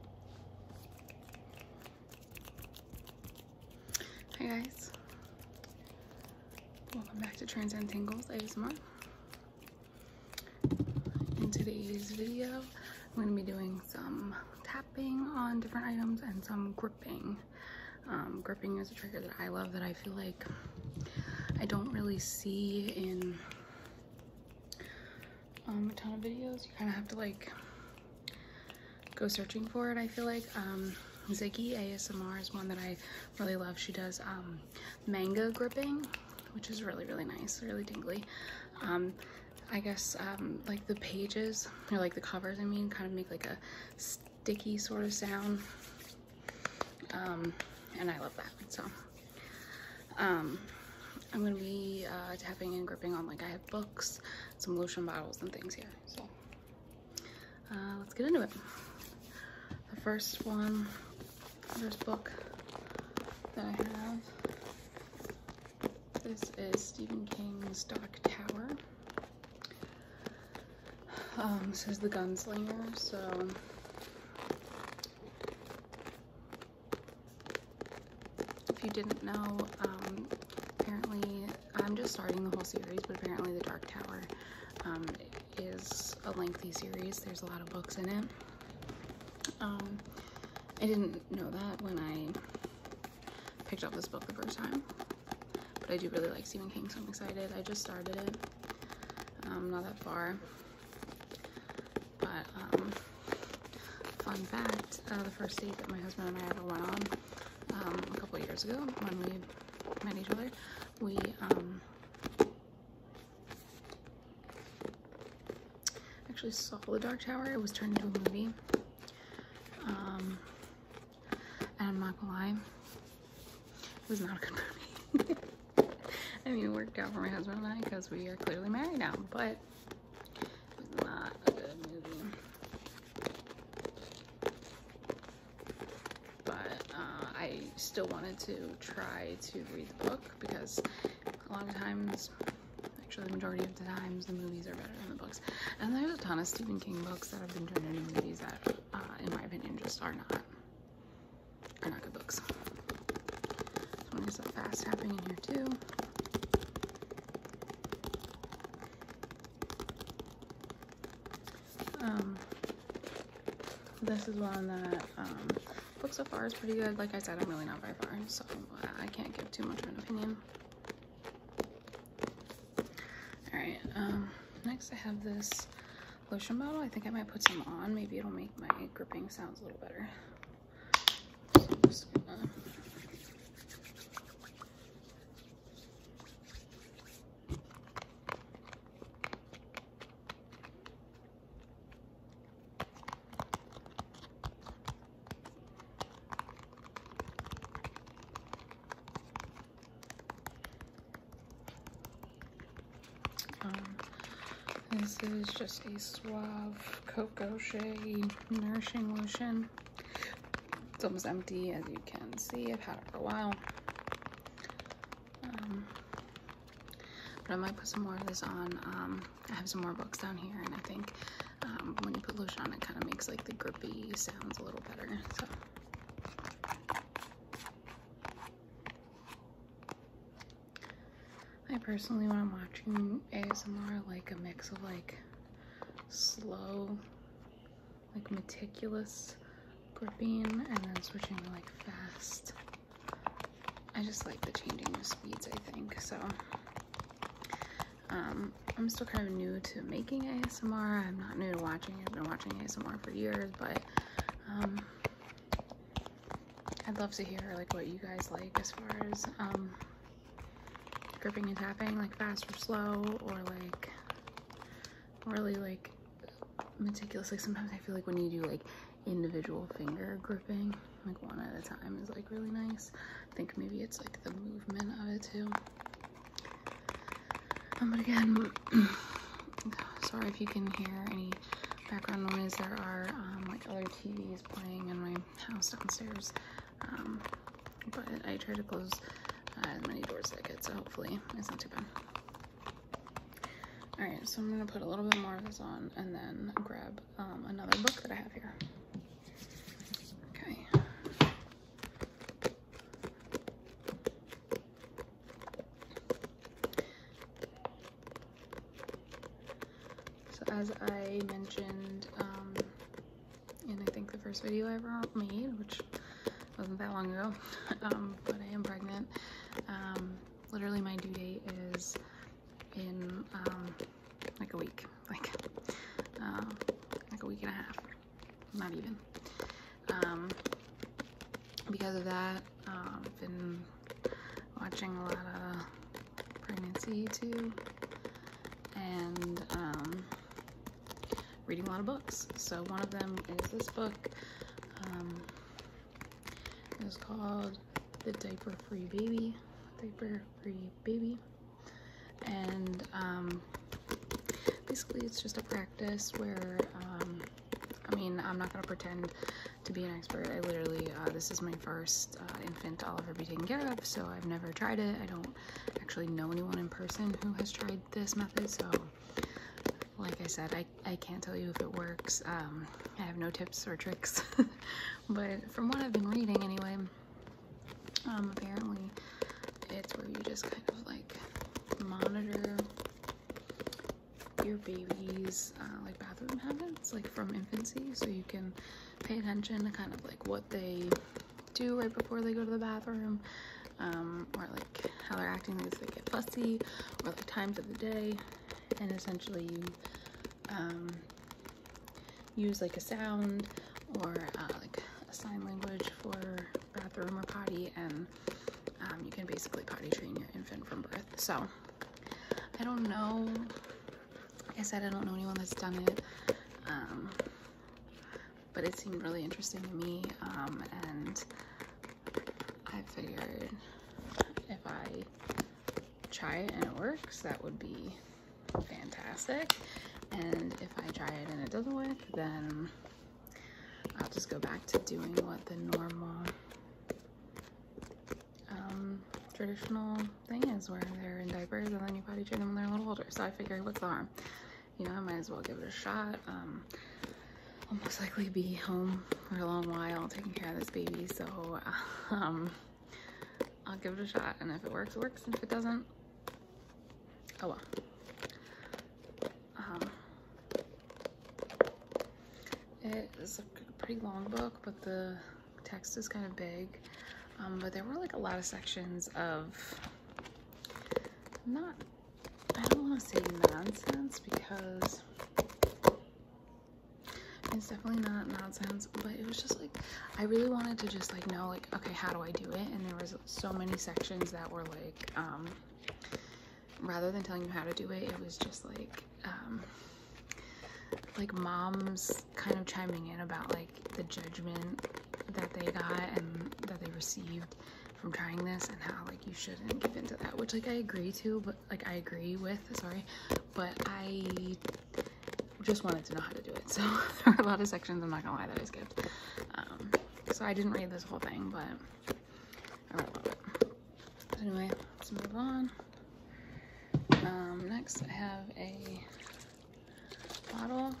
Hi guys, welcome back to Transcend Tingles ASMR. In today's video, I'm going to be doing some tapping on different items and some gripping. Um, gripping is a trigger that I love that I feel like I don't really see in um, a ton of videos. You kind of have to like go searching for it, I feel like. Um, Ziggy ASMR is one that I really love. She does um, manga gripping, which is really, really nice, really tingly. Um, I guess um, like the pages, or like the covers, I mean, kind of make like a sticky sort of sound. and I love that, so. Um, I'm gonna be uh, tapping and gripping on like I have books, some lotion bottles and things here. So uh, let's get into it. The first one, first book that I have, this is Stephen King's Dark Tower. Um, this is The Gunslinger, so if you didn't know, um, apparently I'm just starting the whole series, but apparently The Dark Tower um, is a lengthy series. There's a lot of books in it. Um, I didn't know that when I picked up this book the first time, but I do really like Stephen King, so I'm excited. I just started it, um, not that far. But um, fun fact, uh, the first date that my husband and I ever went on um, a couple years ago when we met each other, we um, actually saw the Dark Tower. It was turned into a movie. and I'm not gonna lie, it was not a good movie. I mean, it worked out for my husband and I because we are clearly married now, but not a good movie. But uh, I still wanted to try to read the book because a lot of times actually the majority of the times the movies are better than the books and there's a ton of Stephen King books that have been turned into movies that uh, in my opinion just are not are not good books. Why is fast happening in here too? Um, this is one that um, book so far is pretty good. Like I said, I'm really not very far, so I can't give too much of an opinion. All right, um, next I have this lotion bottle. I think I might put some on. Maybe it'll make my gripping sounds a little better. So I'm just gonna um, this is just a Suave Cocoa Shea Nourishing Lotion. It's almost empty, as you can see. I've had it for a while. Um, but I might put some more of this on. Um, I have some more books down here, and I think um, when you put lotion it kind of makes like the grippy sounds a little better. I personally, when I'm watching ASMR, like a mix of like slow, like meticulous gripping and then switching like fast. I just like the changing of speeds, I think. So, um, I'm still kind of new to making ASMR. I'm not new to watching I've been watching ASMR for years, but um, I'd love to hear like what you guys like as far as um, gripping and tapping, like fast or slow, or like really like meticulous. Like sometimes I feel like when you do like individual finger gripping, like one at a time is like really nice. I think maybe it's like the movement of it too. Um, but again, sorry if you can hear any background noise. There are um, like other TVs playing in my house downstairs, um, but I try to close uh, as many doors as I can, so hopefully it's not too bad. All right, so I'm gonna put a little bit more of this on and then grab um, another book that I have here. Okay. So as I mentioned and um, I think the first video I ever made, which wasn't that long ago, um, but I am pregnant. Um, literally my due date is in like a week, like uh, like a week and a half, not even. because of that, been watching a lot of pregnancy too, and um, reading a lot of books. So one of them is this book. Um, it's called The Diaper Free Baby. Diaper Free Baby. And um, basically it's just a practice where I mean, I'm not gonna pretend to be an expert. I literally, uh, this is my first uh, infant I'll ever be taking care of, so I've never tried it. I don't actually know anyone in person who has tried this method, so like I said, I, I can't tell you if it works. Um, I have no tips or tricks, but from what I've been reading anyway, um, apparently it's where you just kind of like monitor your baby's uh, like bathroom habits like from infancy so you can pay attention to kind of like what they do right before they go to the bathroom um, or like how they're acting like they get fussy or like times of the day and essentially um, use like a sound or uh, like a sign language for bathroom or potty and um, you can basically potty train your infant from birth so I don't know. I said, I don't know anyone that's done it. Um, but it seemed really interesting to me. Um, and I figured if I try it and it works, that would be fantastic. And if I try it and it doesn't work, then I'll just go back to doing what the normal um, traditional thing is where they're in diapers and then you potty train them when they're a little older. So I figured, what's the harm? You know, I might as well give it a shot. Um, I'll most likely be home for a long while taking care of this baby, so um, I'll give it a shot. And if it works, it works. if it doesn't, oh well. It is a pretty long book, but the text is kind of big. Um, but there were like a lot of sections of not, I don't want to say nonsense because it's definitely not nonsense, but it was just like, I really wanted to just like know like, okay, how do I do it? And there was so many sections that were like, um, rather than telling you how to do it, it was just like um, like moms kind of chiming in about like the judgment that they got and that they received from trying this and how like you shouldn't give into that which like I agree to but like I agree with sorry but I just wanted to know how to do it so there are a lot of sections I'm not gonna lie that I skipped um, so I didn't read this whole thing but anyway, let's move on. Um, next, I have a bottle.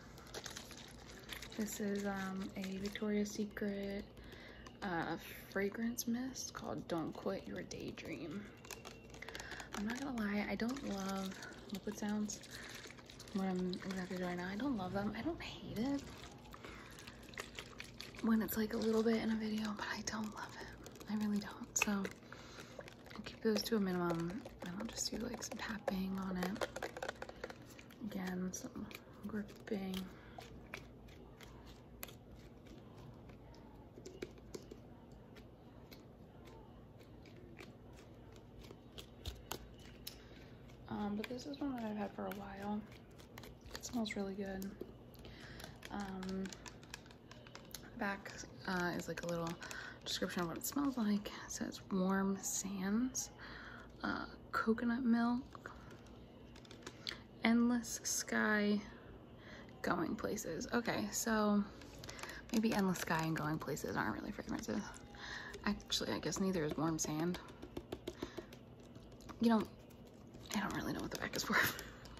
This is um, a Victoria's Secret uh, fragrance mist called Don't Quit Your Daydream. I'm not gonna lie, I don't love liquid sounds. What I'm exactly doing now, I don't love them. I don't hate it when it's like a little bit in a video, but I don't love it. I really don't. So i keep those to a minimum and I'll just do like some tapping on it. Again, some gripping. Um, but this is one that I've had for a while. It smells really good. Um, back uh, is like a little description of what it smells like. It says warm sands, uh, coconut milk, endless sky, going places. Okay, so maybe endless sky and going places aren't really fragrances. Actually, I guess neither is warm sand. You don't I don't really know what the back is for.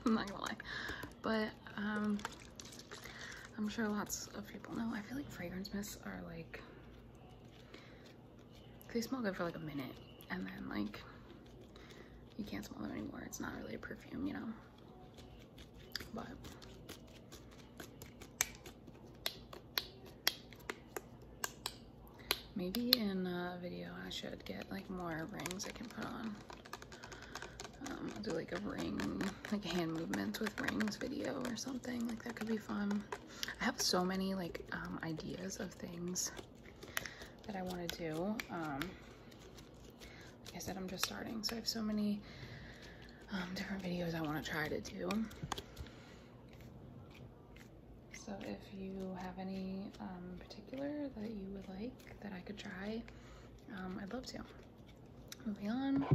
I'm not gonna lie. But um, I'm sure lots of people know. I feel like fragrance mists are like, they smell good for like a minute and then like you can't smell them anymore. It's not really a perfume, you know? But Maybe in a video I should get like more rings I can put on. I'll um, do like a ring, like hand movements with rings video or something. Like that could be fun. I have so many like um, ideas of things that I want to do. Um, like I said, I'm just starting, so I have so many different videos I want to try to do. So if you have any um, particular that you would like that I could try, um, I'd love to. Moving on,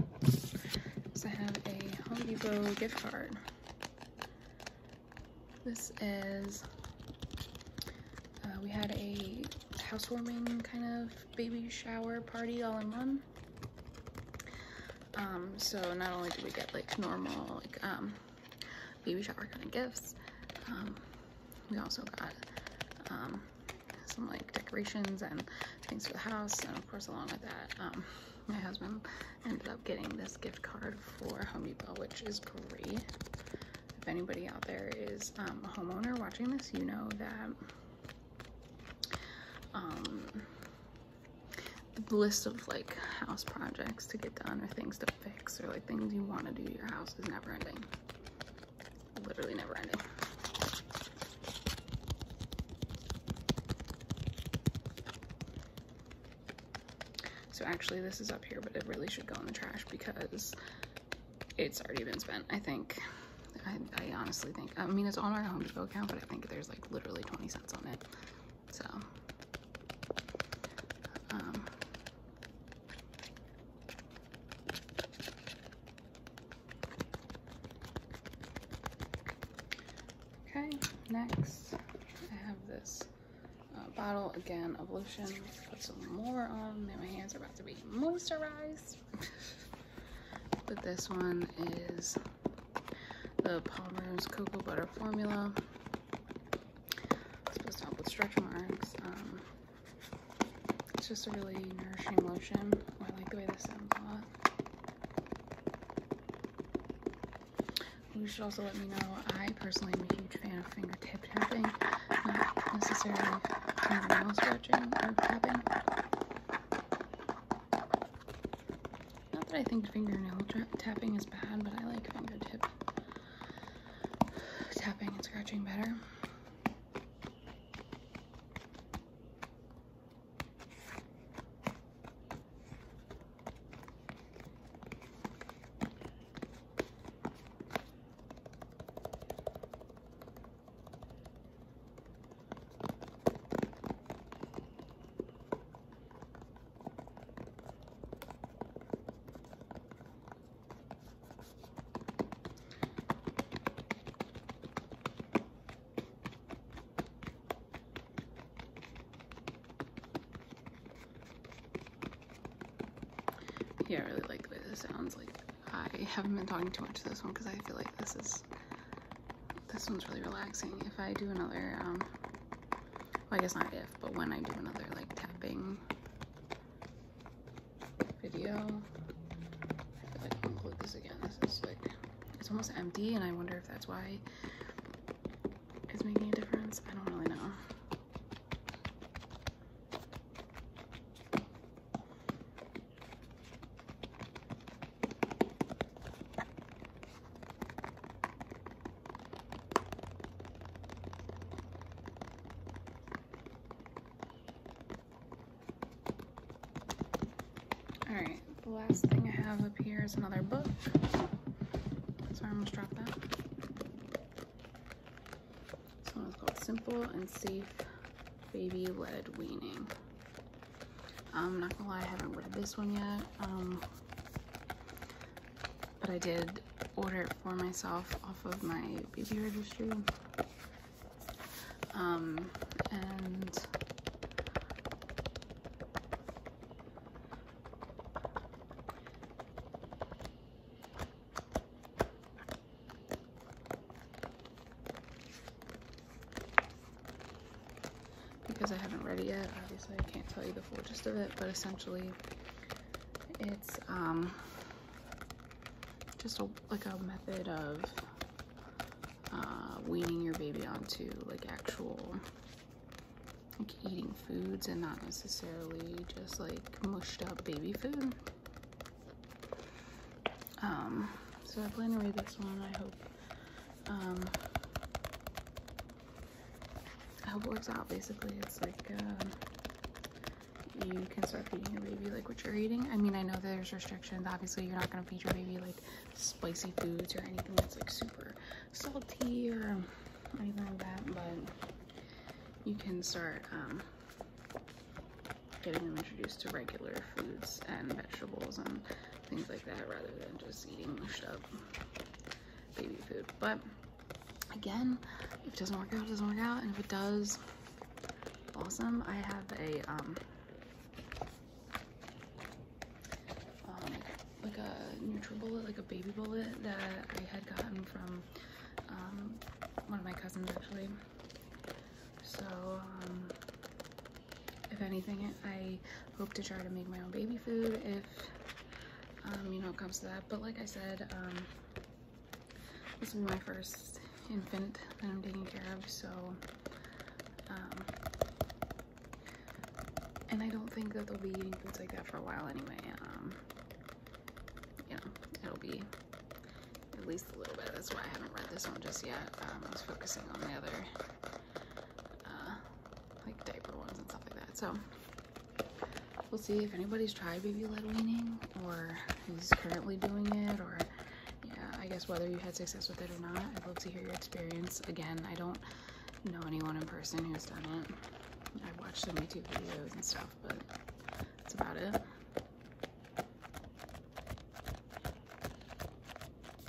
so I have a Home Depot gift card. This is, uh, we had a housewarming kind of baby shower party all in one. Um, so not only did we get like normal like baby shower kind of gifts. Um, we also got um, some like decorations and things for the house. And of course, along with that, um, my husband ended up getting this gift card for Home Depot, which is great. If anybody out there is a homeowner watching this, you know that the list of like house projects to get done or things to fix or like things you want to do your house is never ending literally never ending so actually this is up here but it really should go in the trash because it's already been spent i think I, I honestly think i mean it's on our home depot account but i think there's like literally 20 cents on it so, um, okay, next I have this uh, bottle again of lotion. put some more on. Now my hands are about to be moisturized. but this one is the Palmer's Cocoa Butter Formula supposed to help with stretch marks. Um, it's just a really nourishing lotion. I like the way this sounds a lot. You should also let me know. I personally am a huge fan of fingertip tapping, not necessarily fingernail stretching or tapping. Not that I think fingernail tapping is bad, but I like finger tip tapping and scratching better. Yeah, I really like the way this sounds. Like, I haven't been talking too much to this one because I feel like this is, this one's really relaxing. If I do another, um, I guess not if, but when I do another like tapping video, I feel like i can include this again. This is like, it's almost empty and I wonder if that's why it's making a difference. I don't really know. Alright, the last thing I have up here is another book. Sorry, I almost dropped that. This one is called Simple and Safe Baby Led Weaning. I'm not gonna lie, I haven't read this one yet. Um, but I did order it for myself off of my baby registry. Um, and because I haven't read it yet. Obviously, I can't tell you the full gist of it, but essentially, it's um, just like a method of uh, weaning your baby onto like actual like eating foods and not necessarily just like mushed up baby food. Um, so I plan to read this one. I hope um, I hope it works out basically. It's like um, you can start feeding your baby like what you're eating. I mean, I know there's restrictions. Obviously, you're not going to feed your baby like spicy foods or anything that's like super salty or anything like that, but you can start um, getting them introduced to regular foods and vegetables and things like that rather than just eating mushed up baby food. But again, if it doesn't work out, it doesn't work out. And if it does, awesome. I have a, um, um like a bullet, like a baby bullet that I had gotten from um, one of my cousins actually. So, um, if anything i hope to try to make my own baby food if um, you know it comes to that but like i said um, this will be my first infant that i'm taking care of so um, and i don't think that they'll be eating foods like that for a while anyway you know it'll be at least a little bit that's why i haven't read this one just yet i was focusing on the other uh, like diaper ones and stuff like that. So we'll see if anybody's tried baby led weaning or who's currently doing it or yeah, I guess whether you had success with it or not, I'd love to hear your experience. Again, I don't know anyone in person who's done it. I've watched some YouTube videos and stuff, but that's about it.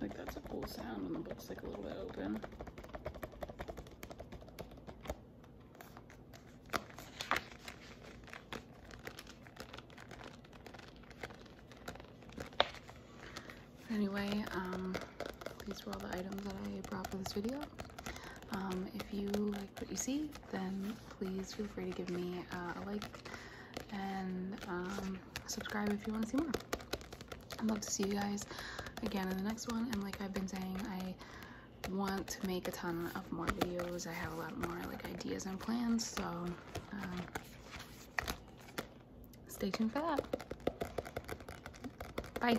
Like that's a cool sound when the book's like a little bit open. Anyway, um, these were all the items that I brought for this video. Um, if you like what you see, then please feel free to give me uh, a like and um, subscribe if you want to see more. I'd love to see you guys again in the next one. And like I've been saying, I want to make a ton of more videos. I have a lot more like ideas and plans, so um, stay tuned for that. Bye.